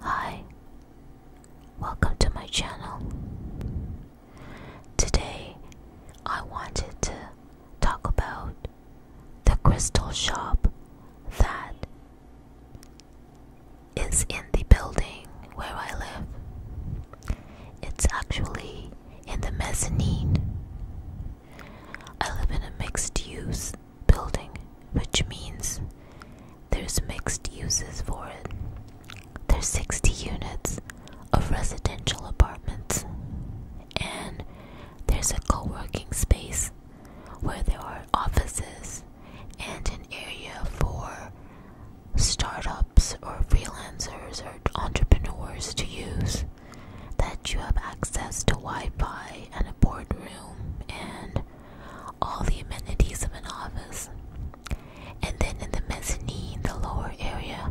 Hi, welcome to my channel. Today I wanted to talk about the crystal shop that is in the building where I live. It's actually in the mezzanine. I live in a mixed use building, which means there's mixed uses for it. There's 60 units of residential apartments, and there's a co working space where there are offices and an area for startups or freelancers or entrepreneurs to use that you have access to Wi Fi and a boardroom and all the amenities of an office. And then in the mezzanine, the lower area,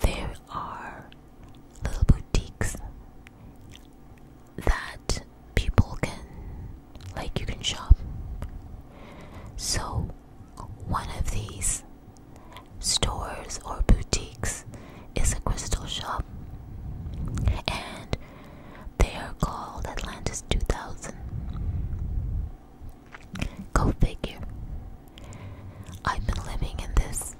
there are little boutiques that people can, like, you can shop. So, one of these stores or boutiques is a crystal shop, and they are called Atlantis 2000. Go figure. I've been living in this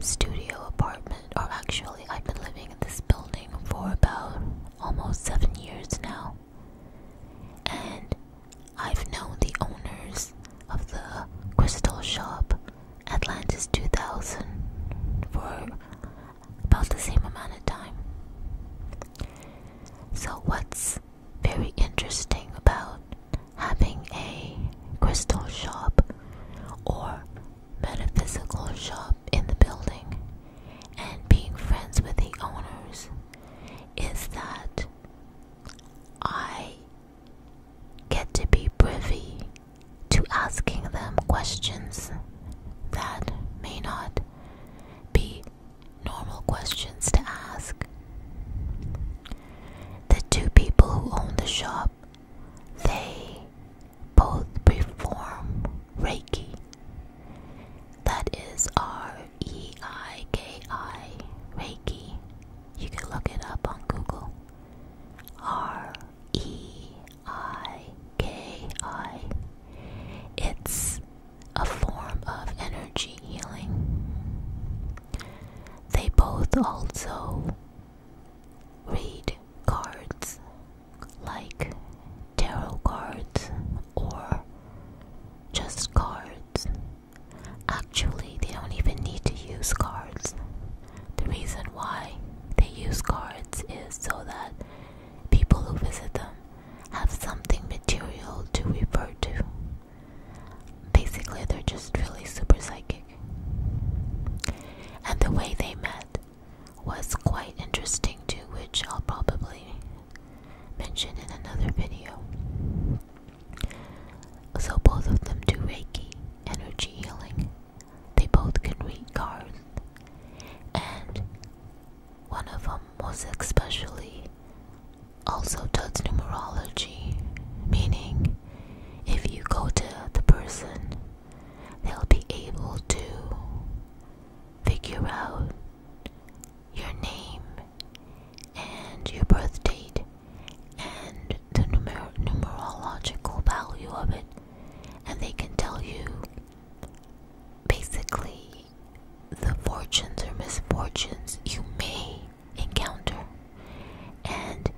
studio apartment, or actually, I've been living in this building for about almost seven years now. And I've known the owners of the crystal shop Atlantis 2000 for about the same amount of time. So, what's very interesting about having a crystal shop or metaphysical shop in the building and being friends with the owners is that I get to be privy to asking them questions that may not be normal questions to ask. The two people who own the shop, they both perform Reiki. That is R E I K I Reiki. You can look it up on Google. R E I K I. It's a form of energy healing. They both also read cards like tarot cards or just cards. Actually, they don't even need to use cards. The reason why they use cards is so that people who visit them have something material to refer to. Basically, they're just really super psychic. And the way they met was quite interesting too, which I'll probably mention in another video. So both of them do Reiki, energy healing. They both can read cards. And one of them was especially also does numerology, meaning if you go to the person, they'll be able to figure out your name and your birth date and the numerological value of it, and they can tell you basically the fortunes or misfortunes you may encounter, and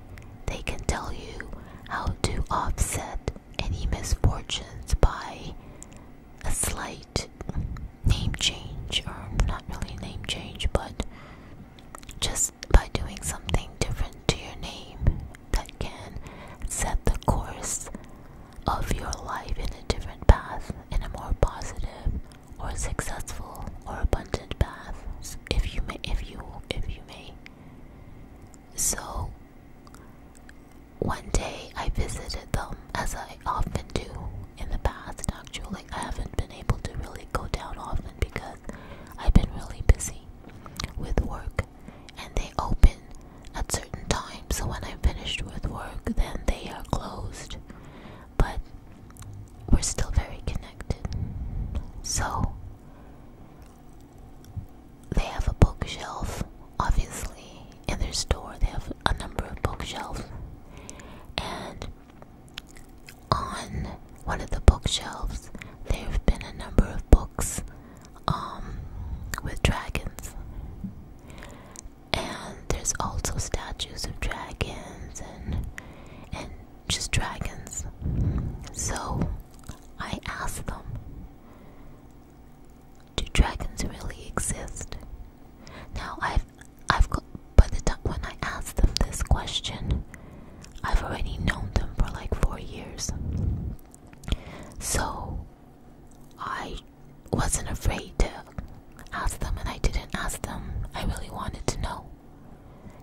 they can tell you how to offset any misfortunes by a slight name change, or not really name change, but just by doing something different to your name that can set the course of your life in a different path, in a more positive or successful or abundant path, if you may, if you, if you may. So, one day I visited them as I often do in the past, actually. I haven't been able to really go down often because I've been really busy with work and they open at certain times. So when I'm finished with work, then they are closed. But we're still very connected. So they have a bookshelf, obviously, in their store. They have a number of bookshelves. And on one of the bookshelves, there have been a number of books um, with dragons. And there's also statues of dragons and and just dragons. So I asked them, do dragons really exist? Now I've I've got but when I asked them this question, I've already known them for like four years. So I wasn't afraid to ask them, and I didn't ask them. I really wanted to know.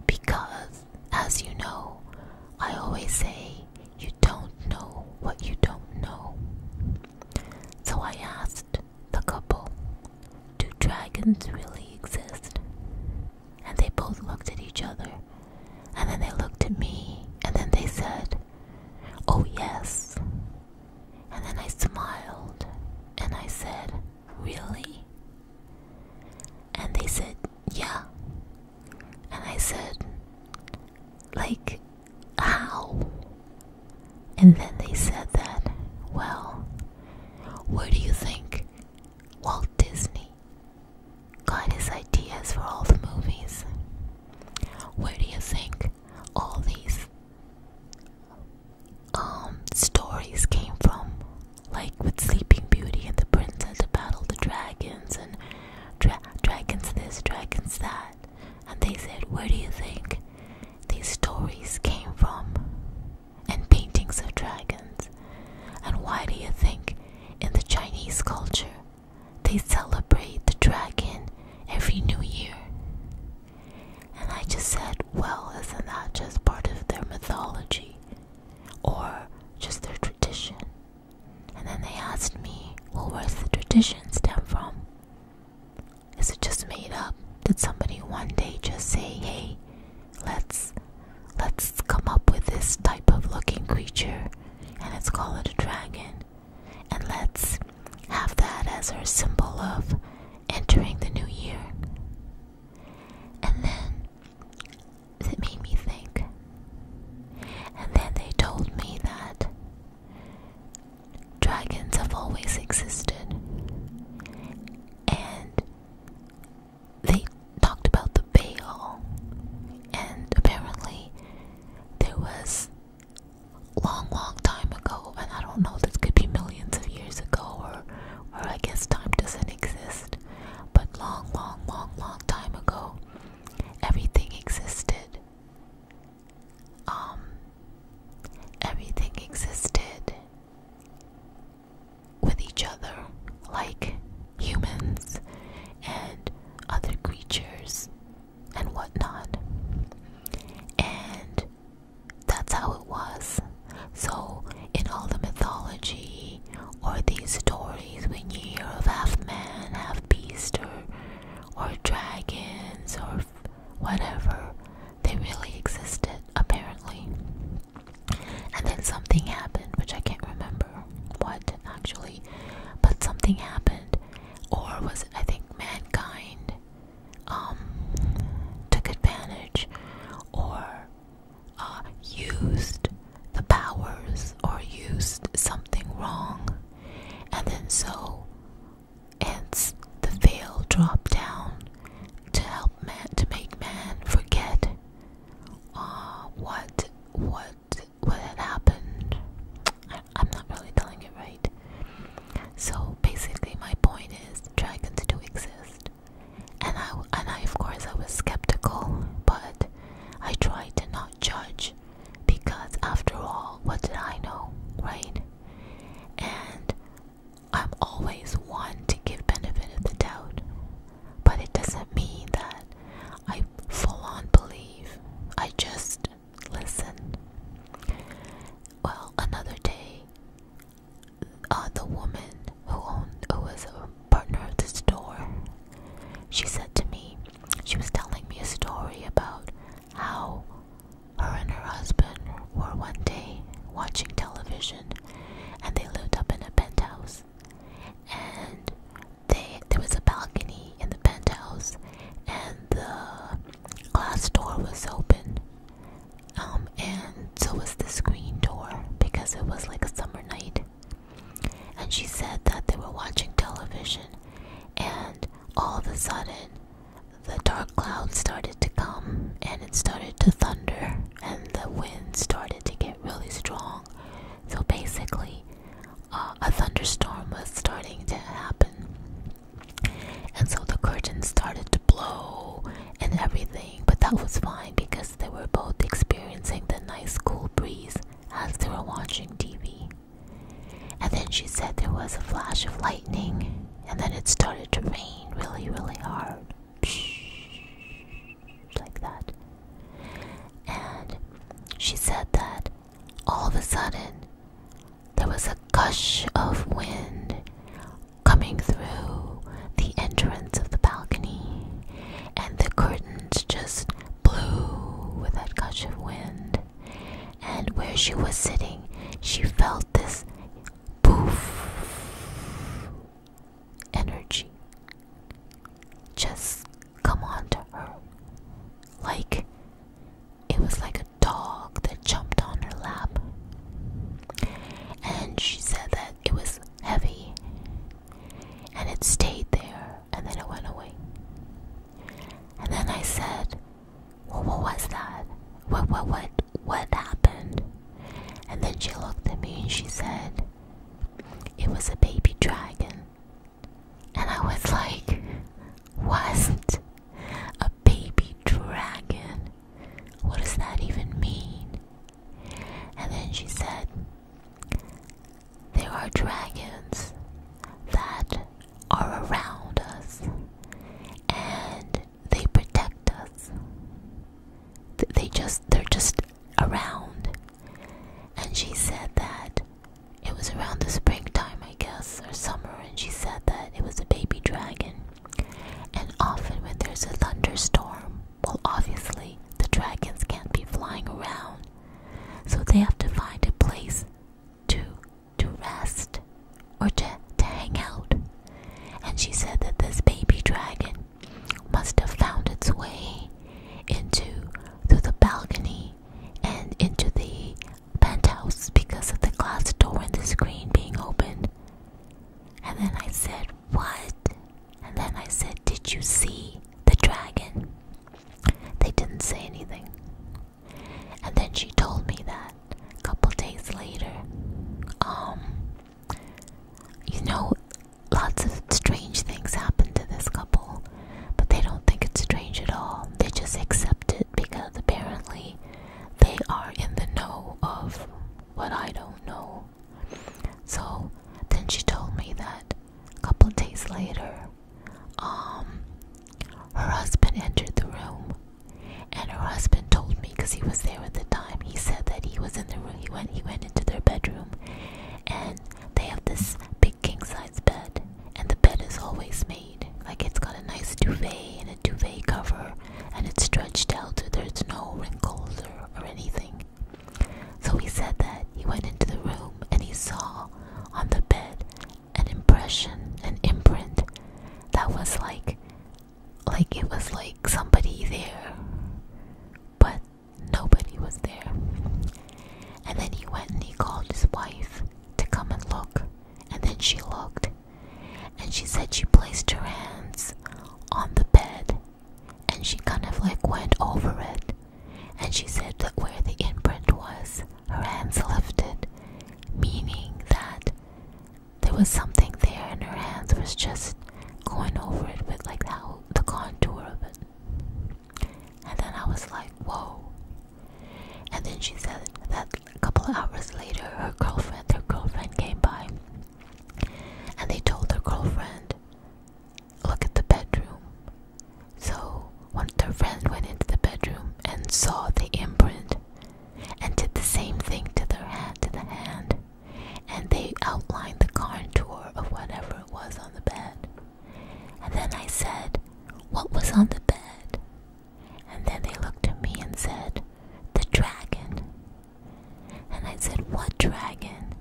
Because, as you know, I always say, you don't know what you don't know. So I asked the couple, do dragons really exist? and they both looked at each other, and then they looked at me, and then they said, Oh, yes. And then I smiled, and I said, Really? And they said, Yeah. And I said, Like, how? And then they said that, Well, what do you think Walt Disney got his ideas for all the movies. Where do you think all these um stories came from? Like with Sleeping Beauty and the Princess to battle the dragons and dragons this, dragons that. And they said, Where do you think these stories came from? and paintings of dragons. And why do you think in the Chinese culture they celebrate the dragon every new year? And I just said, well, isn't that just part of their mythology or just their tradition? And then they asked me, well, where's the tradition stem from? Is it just made up? Did somebody one day just say, hey, Let's let's come up with this type of looking creature and let's call it a dragon. And let's have that as our symbol of entering the new year. And then it made me think. And then they told me that dragons have always existed. And they talked about the veil, and apparently there was long, long time ago, and I don't know, this could be millions of years ago, or, or I guess time doesn't exist, but long, long, long, long time ago, everything existed. Um, everything existed with each other like humans and other creatures and whatnot. And that's how it was. So, in all the mythology or these stories, when you hear of half man, half beast, or, or dragons, or whatever. They really existed, apparently. And then something happened, which I can't remember what actually, but something happened, or was it, I think mankind um, took advantage or uh, used the powers or used something wrong, and then so Hence, the veil dropped down to help man to make man forget uh, what what what had happened. I, am not really telling it right. So basically, my point is dragons do exist, and I and I of course I was skeptical, but I tried to not judge because after all, what did I know, right? And I'm always one to give benefit of the doubt, but it doesn't mean that I full on believe. I just listen. Well, another day, uh, the woman who owned, who was a partner at the store, she said to me, she was telling me a story about how her and her husband were one day watching television and they lived up in a penthouse. And they there was a balcony in the penthouse and the glass door was open. Um and so was the screen door because it was like a summer night. And she said that they were watching television and all of a sudden the dark clouds started to come and it started to thunder and the wind started to get really strong. So basically, uh, a thunderstorm was starting to happen. And so the curtains started to blow and everything, but that was fine because they were both experiencing the nice cool breeze as they were watching TV. And then she said there was a flash of lightning and then it started to rain really, really hard. Like that. And she said that all of a sudden there was a gush of wind coming through the entrance of the balcony, and the curtains just blew with that gush of wind. And where she was sitting, she felt this poof energy just come on her like it was like a dog that jumped on her lap and she said that it was heavy and it stayed there and then it went away and then i said what, was that? What, what, what, what happened? And then she looked at me and she said, It was a baby dragon. And I was like, Wasn't a baby dragon? What does that even mean? And then she said, There are dragons that are around us, and they protect us. They just they're just around. And she said that it was around the springtime, I guess, or summer, and she said that it was a baby dragon. And often when there's a thunderstorm, well obviously the dragons can't be flying around. So they have to find a place to to rest or to, to hang out. And she said that this baby dragon must have found its way into through the balcony and into the penthouse because of the glass door and the screen being open. And then I said, What? And then I said, Did you see the dragon? They didn't say anything. And then she told me that a couple days later. Um, you know, lots of strange things happen to this couple, but they don't think it's strange at all. They just accept it because apparently they are in the know of what I don't know. So then she told me that a couple days later, um, her husband entered the room and her husband told me because he was there at the time. He said that he was in the room. He went. He went into their bedroom, and they have this big king size bed, and the bed is always made like it's got a nice duvet and a duvet cover, and it's stretched out. So there's no wrinkles or, or anything. So he said that he went into the room and he saw on the bed an impression, an imprint that was like like it was like somebody there but nobody was there. And then he went and he called his wife to come and look. And then she looked and she said she placed her hands on the bed and she kind of like went over it and she said that where the imprint was her hands lifted, meaning that there was something there and her hands was just going over it with like how the contour of it. And then I was like, whoa. And then she said that a couple hours later her girlfriend, her girlfriend came by and they told her girlfriend, look at the bedroom. So one of their friends went into the bedroom and saw the imprint and did the same thing to their hand to the hand and they outlined the contour of whatever it was on the bed and then i said what was on the bed and then they looked at me and said the dragon and i said what dragon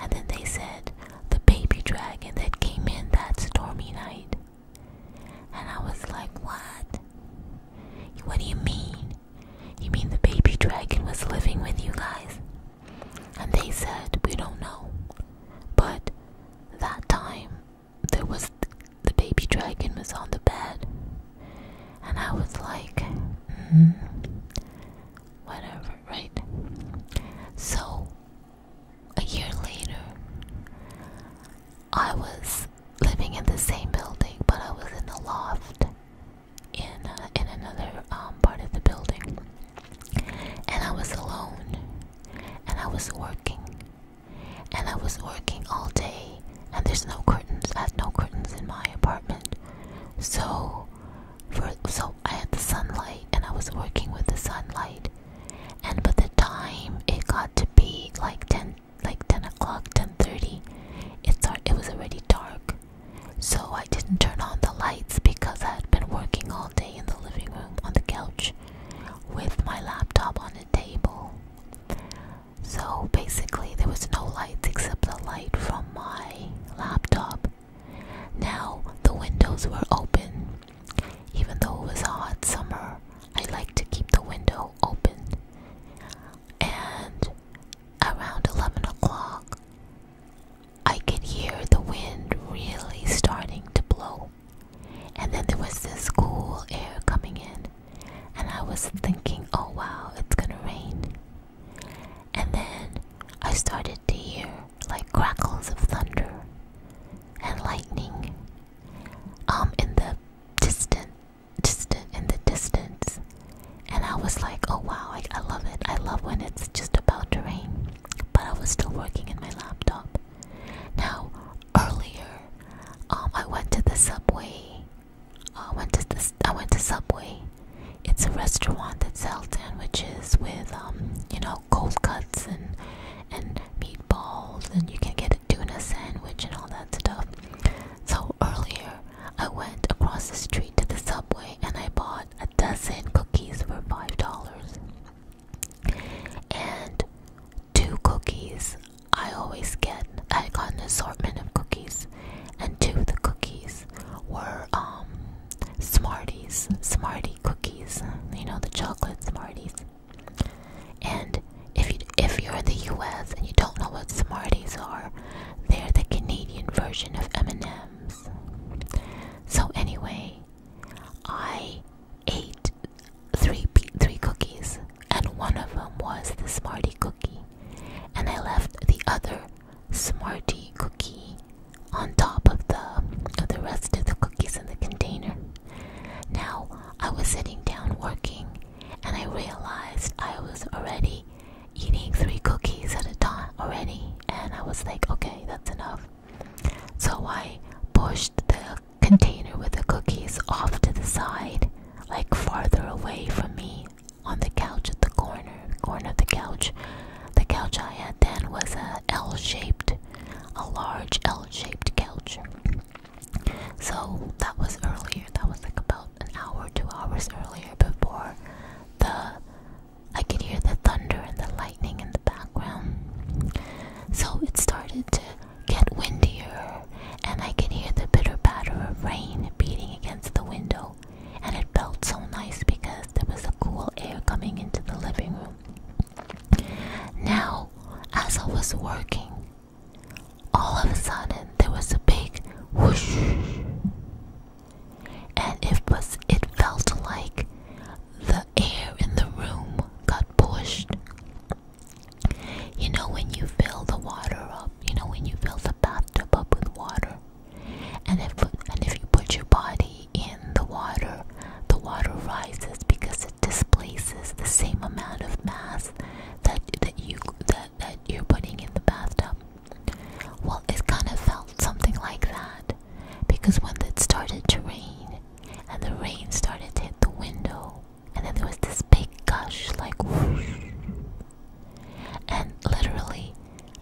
and then they said the baby dragon that came in that stormy night and I was like, What? What do you mean? You mean the baby dragon was living with you guys? And they said, We don't know. But that time, there was the baby dragon was on the bed. And I was like, mm, Whatever, right? So a year later, I was living in the same building, but I was in a loft in uh, in another um, part of the building, and I was alone, and I was working, and I was working all day, and there's no curtains. I had no curtains in my apartment, so for so I had the sunlight, and I was working with the sunlight, and by the time it got to be like 10 like 10 o'clock 10.30 it it was already dark so i didn't turn on the lights because i had been working all day in the living room on the couch with my laptop on a table so basically there was no lights except the light from my laptop now the windows were open even though it was a hot summer, I like to keep the window open. And around 11 o'clock, I could hear the wind really starting to blow. And then there was this cool air coming in. And I was thinking, oh wow, it's gonna rain. And then I started to hear like crackles of thunder and lightning um in the distant distant in the distance and I was like oh wow I love it I love when it's just about to rain but I was still working in my laptop now earlier um I went to the subway uh, I went to this I went to subway it's a restaurant that sells sandwiches with um you know cold cuts and and meatballs, and you can get a tuna sandwich and all that stuff. So earlier, I went across the street to the subway and I bought a dozen cookies for five dollars. And two cookies I always get. I got an assortment of cookies, and two of the cookies were um, Smarties, Smartie cookies. You know the chocolate Smarties. And if you if you're in the U.S. and you don't know what Smarties are, they're the Canadian version of M&Ms. So anyway, I ate three three cookies, and one of them was the Smartie cookie, and I left the other Smartie cookie on top of the of the rest of the cookies in the container. Now I was sitting down working and I realized I was already eating three cookies at a time already and I was like, okay, that's enough. So I pushed the container with the cookies off to the side, like farther away from me on the couch at the corner, corner of the couch. The couch I had then was a L shaped a large L-shaped couch. So that was earlier. That was like about an hour, two hours earlier before the I could hear the thunder and the lightning in the background. So it started to get windier and I could hear the bitter patter of rain beating against the window and it felt so nice because there was a cool air coming into the living room. Now, as I was working, all of a sudden there was a big whoosh, and it was it felt like the air in the room got pushed. You know when you fill the water up, you know when you fill the bathtub up with water, and if and if you put your body in the water, the water rises because it displaces the same amount of mass that that you that, that you're putting in the bathtub. Well, it kind of felt something like that because when it started to rain and the rain started to hit the window and then there was this big gush like whoosh. and literally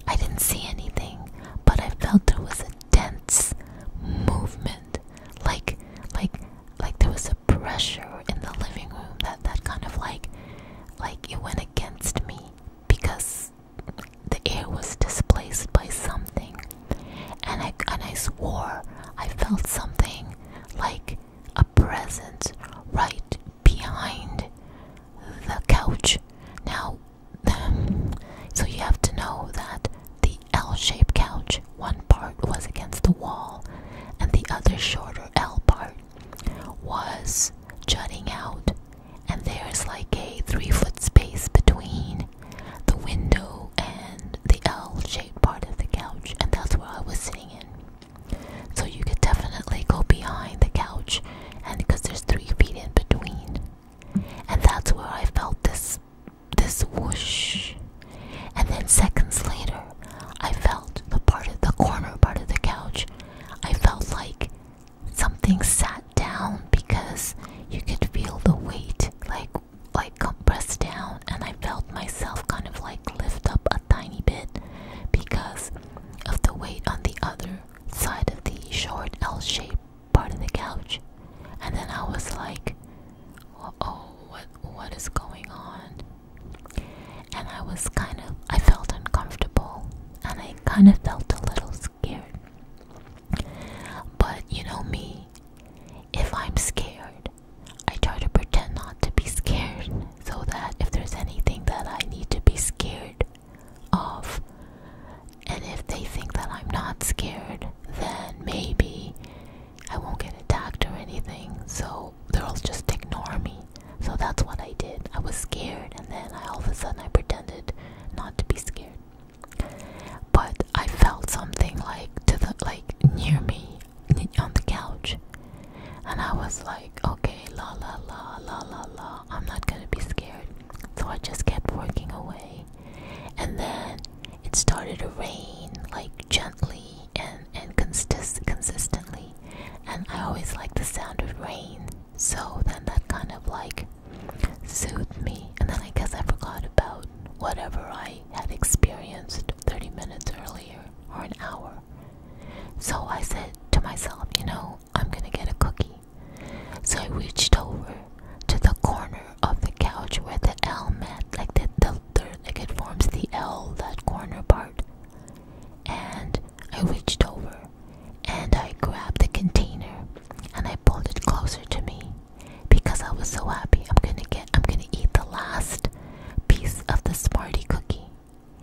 I didn't see anything but I felt there was a tense movement like like like there was a pressure in the living room that that kind of like like it went against me because the air was displaced by something and I and I swore I felt something like a presence right behind the couch. Now so you have to know that the L-shaped couch, one part was against the wall, and the other shorter L part was jutting out, and there's like a three foot space between the window and the L-shaped part of the couch, and that's where I was sitting in. So you could definitely go behind the couch, and because there's three feet in between, and that's where I felt this this this whoosh and then seconds later I felt the part of the corner part of the couch I felt like something sat down because you could feel the weight like like compressed down and I felt myself kind of like lift up a tiny bit because of the weight on the other side of the short L shape part of the couch. And then I was like, oh, what, what is going on? And I was kind of, I felt uncomfortable and I kind of felt a little scared. But you know me, if I'm scared, I try to pretend not to be scared so that if there's anything that I need to be scared of, and if they think that I'm not scared, then maybe I won't get attacked or anything. So they'll just ignore me. So that's what I did. I was scared, and then all of a sudden I pretended not to be scared. But I felt something like to the like near me on the couch, and I was like, okay, la la la la la la. I'm not gonna be scared. So I just kept working away and then it started to rain like gently and and consist consistently and i always like the sound of rain so then that kind of like soothed me and then i guess i forgot about whatever i had experienced 30 minutes earlier or an hour so i said to myself you know i'm gonna get a cookie so I reached over to the corner of the couch where the L met, like the, the, the forms the L, that corner part. And I reached over and I grabbed the container and I pulled it closer to me because I was so happy. I'm gonna get I'm gonna eat the last piece of the Smarty cookie.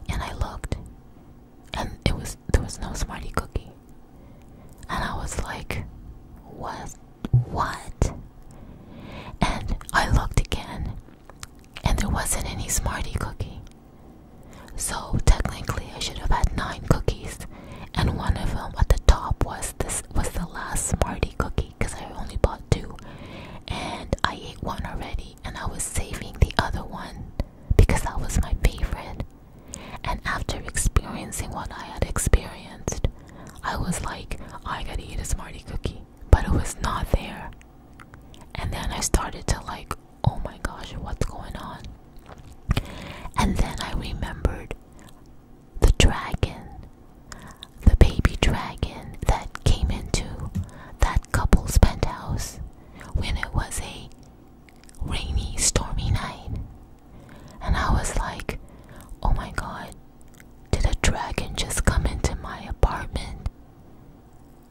And I looked and it was there was no Smarty cookie, and I was like, "What? What?" And I looked again, and there wasn't any Smarty cookie. So technically, I should have had nine cookies, and one of them at the top was this was the last Smarty cookie because I only bought two, and I ate one already, and I was saving the other one because that was my favorite. And after experiencing what I had experienced, I was like, oh, I gotta eat a Smarty cookie. But it was not there. And then I started to like, oh my gosh, what's going on? And then I remembered the dragon, the baby dragon that came into that couple's penthouse when it was a rainy, stormy night. And I was like, oh my god, did a dragon just come into my apartment?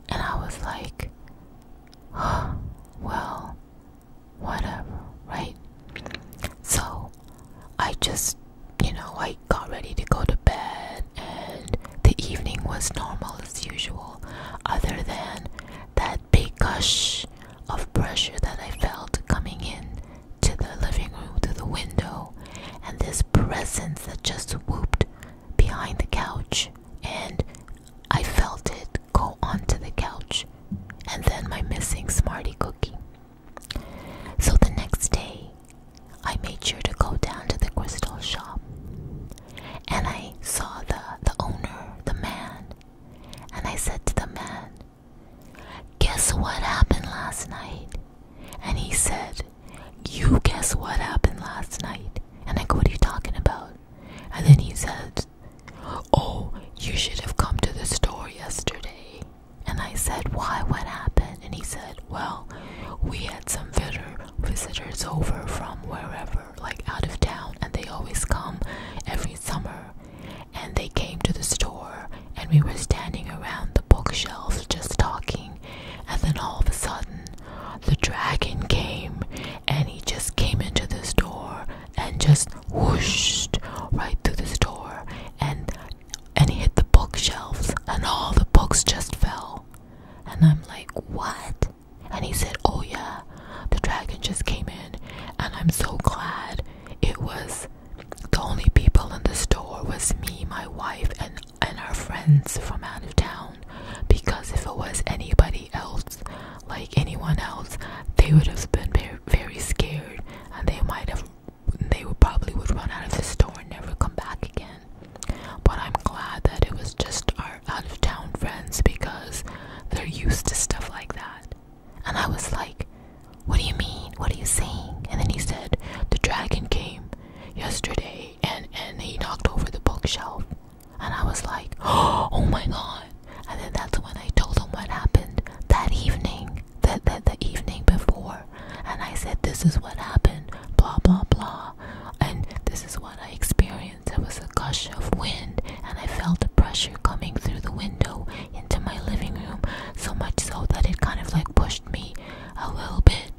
And I was like, oh, well, whatever, right? So I just, you know, I got ready to go to bed, and the evening was normal as usual, other than that big gush of pressure that I felt coming in to the living room through the window, and this presence that just swooped behind the couch, and I felt it go onto the couch, and then my missing Smarty cookie. So the next day, I made sure to go down to the crystal shop, and I saw the the owner, the man, and I said to the man, Guess what happened last night? And he said, You guess what happened last night? And I go, What are you talking about? And then he said, Oh, you should have come to the store yesterday. And I said, Why? What happened? And he said, Well, we had some visitors over from wherever like out of town and they always come every summer and they came to the store and we were standing around the bookshelves just talking and then all of a sudden the dragon came and he just came into the store and just whooshed right through the store and and he hit the bookshelves and all the books just fell and I'm like what and he said, Oh, yeah, the dragon just came in, and I'm so glad it was the only people in the store was me, my wife, and, and our friends from out of town. Because if it was anybody else, like anyone else, they would have been very, very scared and they might have, they would probably would run out of the store and never come back again. But I'm glad that it was just our out of town friends because they're used to stuff like that. And I was like, What do you mean? What are you saying? And then he said, The dragon came yesterday and, and he knocked over the bookshelf. And I was like, Oh my god. And then that's when I told him what happened that evening, that the, the evening before. And I said, This is what happened, blah, blah, blah. And this is what I experienced experience, there was a gush of wind, and I felt the pressure coming through the window into my living room, so much so that it kind of like pushed me a little bit,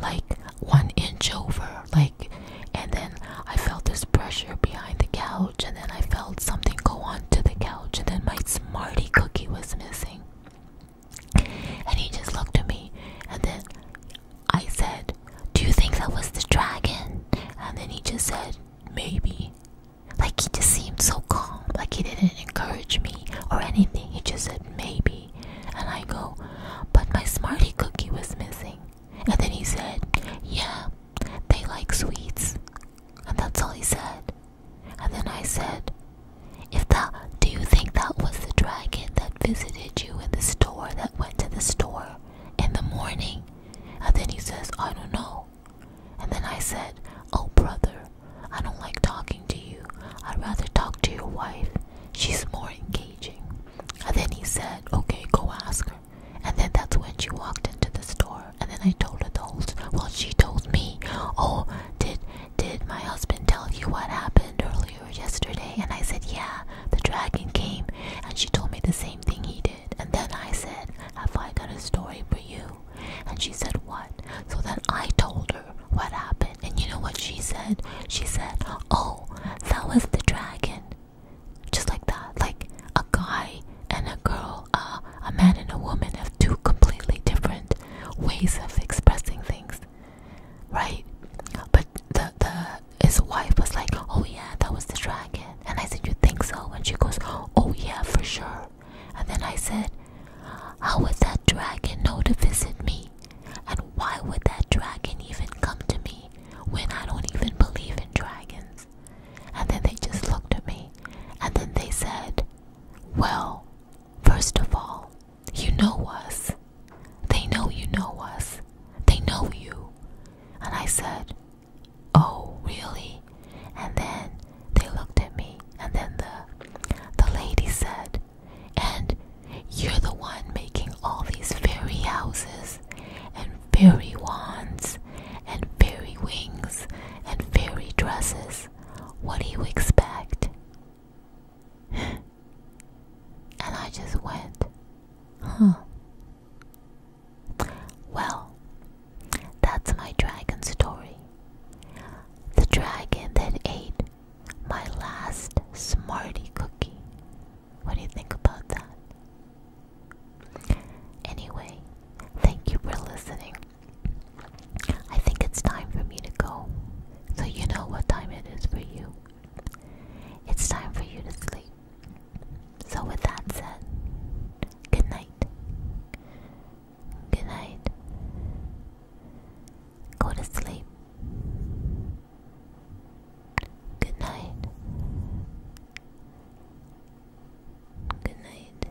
like one inch over, like, and then I felt this pressure behind the couch, and then I felt something go onto the couch, and then my Smarty cookie was missing. And he just looked at me, and then I said, Do you think that was the dragon? And then he just said, Maybe. Like he just seemed so calm, like he didn't encourage me or anything. He just said, Maybe. And I go, But my Smarty cookie was missing. And then he said, Yeah, they like sweets. And that's all he said. And then I said, if that, do you think that was the dragon that visited you in the store, that went to the store? in the morning? And then he says, I don't know. And then I said, Oh, brother, I don't like talking to you. I'd rather talk to your wife. She's more engaging. And then he said, Okay, go ask her. And then that's when she walked into the store. And then I told her the whole well, she told me, Oh, did did my husband tell you what happened earlier yesterday? And I said, Yeah, the dragon came and she told me the same thing he did. And then I said, Have I got a story for you? And she said, What? So then I told her what happened. And you know what she said? She said, Oh, that was the dragon. Just like that. Like a guy and a girl, uh, a man and a woman have two completely different ways of expressing things. Right? But the, the his wife was like, Oh, yeah, that was the dragon. And I said, You think so? And she goes, Oh, yeah, for sure. And then I said, How would that dragon know to visit me? And why would that dragon even come to me when I don't even believe in dragons? And then they just looked at me and then they said, Well, first of all, you know us. They know you know us. They know you. And I said, Oh, really? And then they looked at me, and then the, the lady said, And you're the one making all these fairy houses, and fairy wands, and fairy wings, and fairy dresses. What do you expect? And I just went, huh. Well, that's my dragon story. The dragon that ate my last Smarty cookie. What do you think about that? Anyway, thank you for listening. I think it's time for me to go. So you know what time it is for you. It's time for you to sleep. So, with that said, good night. Good night. Go to sleep. Good night. Good night.